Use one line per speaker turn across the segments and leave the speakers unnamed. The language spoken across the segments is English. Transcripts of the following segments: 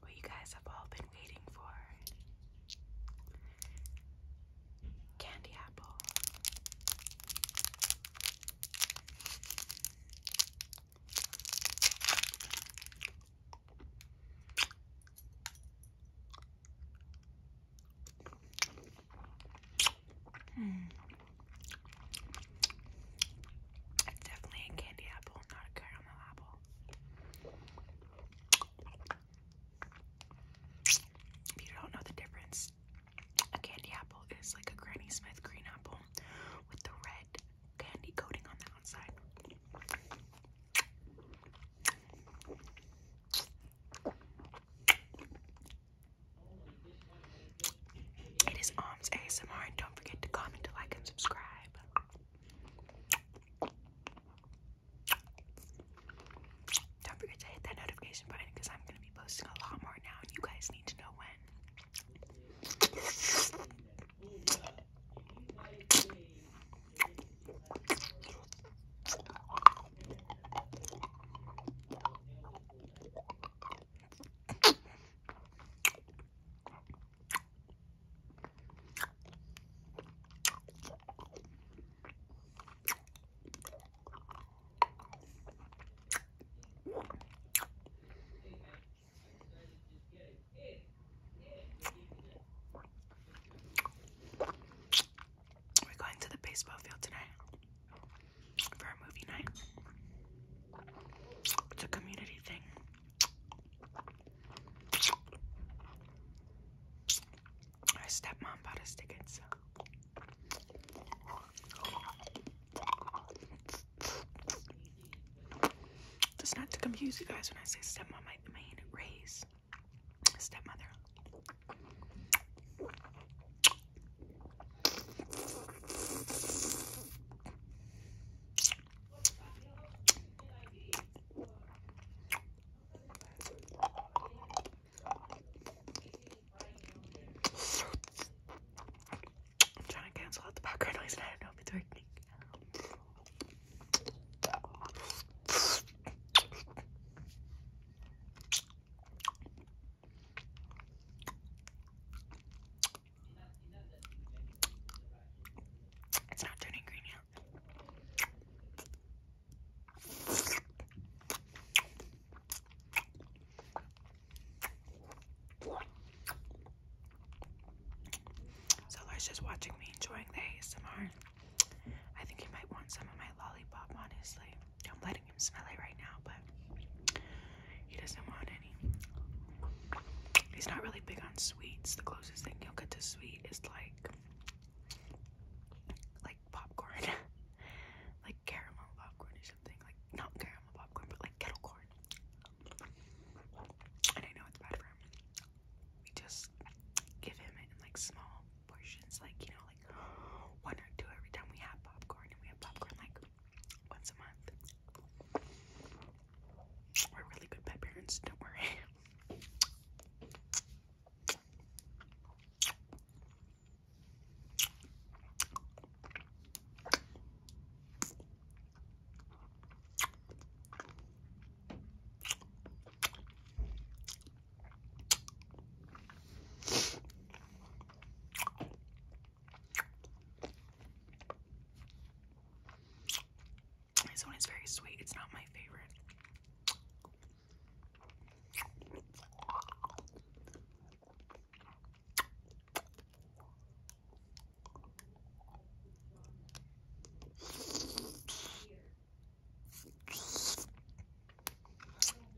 what you guys have all been waiting for candy apple. Hmm. It's definitely a candy apple, not a caramel apple. If you don't know the difference, a candy apple is like a Granny Smith green apple with the red candy coating on the outside. It is Alms ASMR and don't forget to comment, like, and subscribe. Don't forget to hit that notification button because I'm going to be posting a lot more now, and you guys need to know when. We're going to the baseball field tonight for a movie night. It's a community thing. Her stepmom bought us tickets. Just not to confuse you guys when I say stepmom, I mean Ray's stepmother. I'm trying to cancel out the background noise and I don't know if it's working. It's not turning green yet. So Zellar's just watching me enjoying the ASMR. I think he might want some of my lollipop, honestly. I'm letting him smell it right now, but he doesn't want any. He's not really big on sweets. The closest thing he'll get to sweet is like like popcorn. like caramel popcorn or something. Like not caramel popcorn, but like kettle corn. And I know it's bad for him. We just give him it in like small portions, like you know, like one or two every time we have popcorn, and we have popcorn like once a month. We're really good pet parents, don't worry. This one is very sweet. It's not my favorite.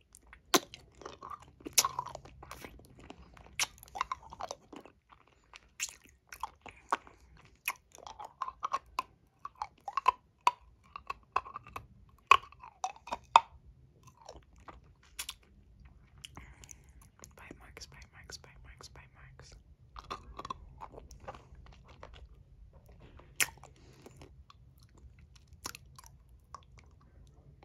Bite marks, bite marks, bite marks, bite marks.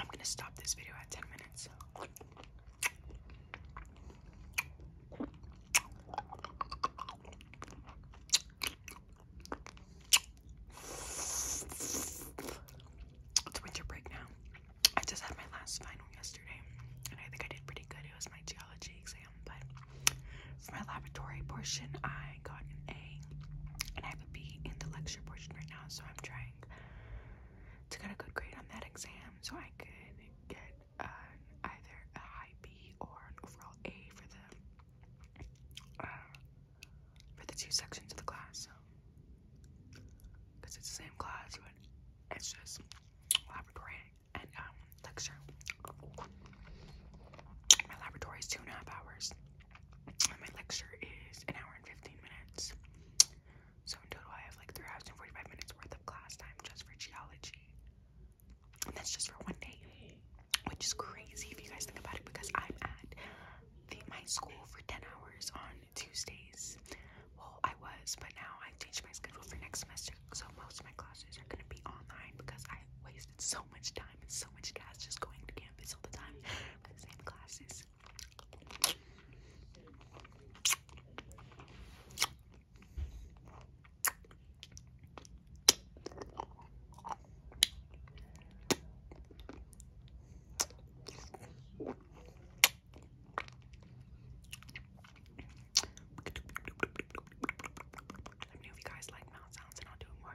I'm gonna stop this video at 10 minutes. It's winter break now. I just had my last final yesterday, and I think I did pretty good. It was my geology exam but for my laboratory portion, I got an A, and I have a B in the lecture portion right now, so I'm trying to get a good grade on that exam so I could get an, either a high B or an overall A for the uh, for the two sections of the class. Because it's the same class, but it's just laboratory and um, My laboratory is two and a half hours, and my lecture is an hour and 15 minutes. So, in total, I have like 3 hours and 45 minutes worth of class time just for geology. And that's just for one day, which is crazy if you guys think about it because I'm at the, my school for 10 hours on Tuesdays. Well, I was, but now I changed my schedule for next semester. So most of my classes are gonna be online because I wasted so much time and so much gas just going to campus all the time for the same classes. Let me know if you guys like mouth sounds and I'll do more.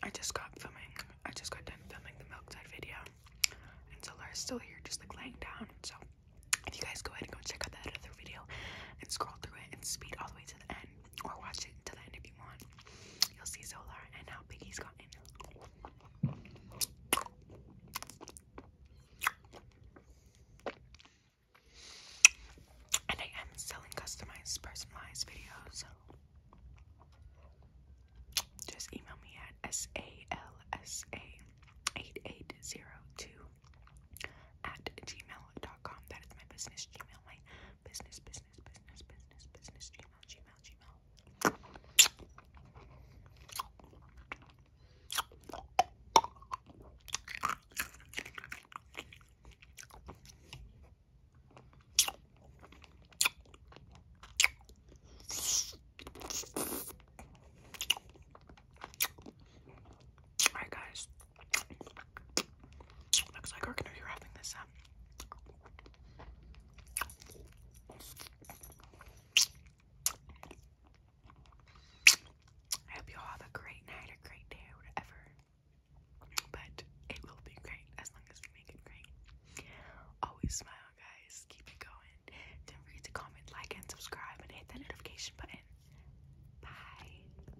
I just got filming. I just got done filming the milk dud video. And so Laura's still here just like laying down. So if you guys go ahead and go check out that other video and scroll through it and speed all the way to the end or watch it until the end if you You'll see Solar and how big he's gotten. And I am selling customized, personalized videos. Just email me at salsa8802 at gmail.com. That is my business Gmail business, business, business, business, business, gmail, gmail, gmail. Alright guys, Looks like we're wrapping this up. I hope you all have a great night, a great day, whatever. But it will be great as long as we make it great. Always smile, guys. Keep it going. Don't forget to comment, like, and subscribe, and hit that notification button. Bye.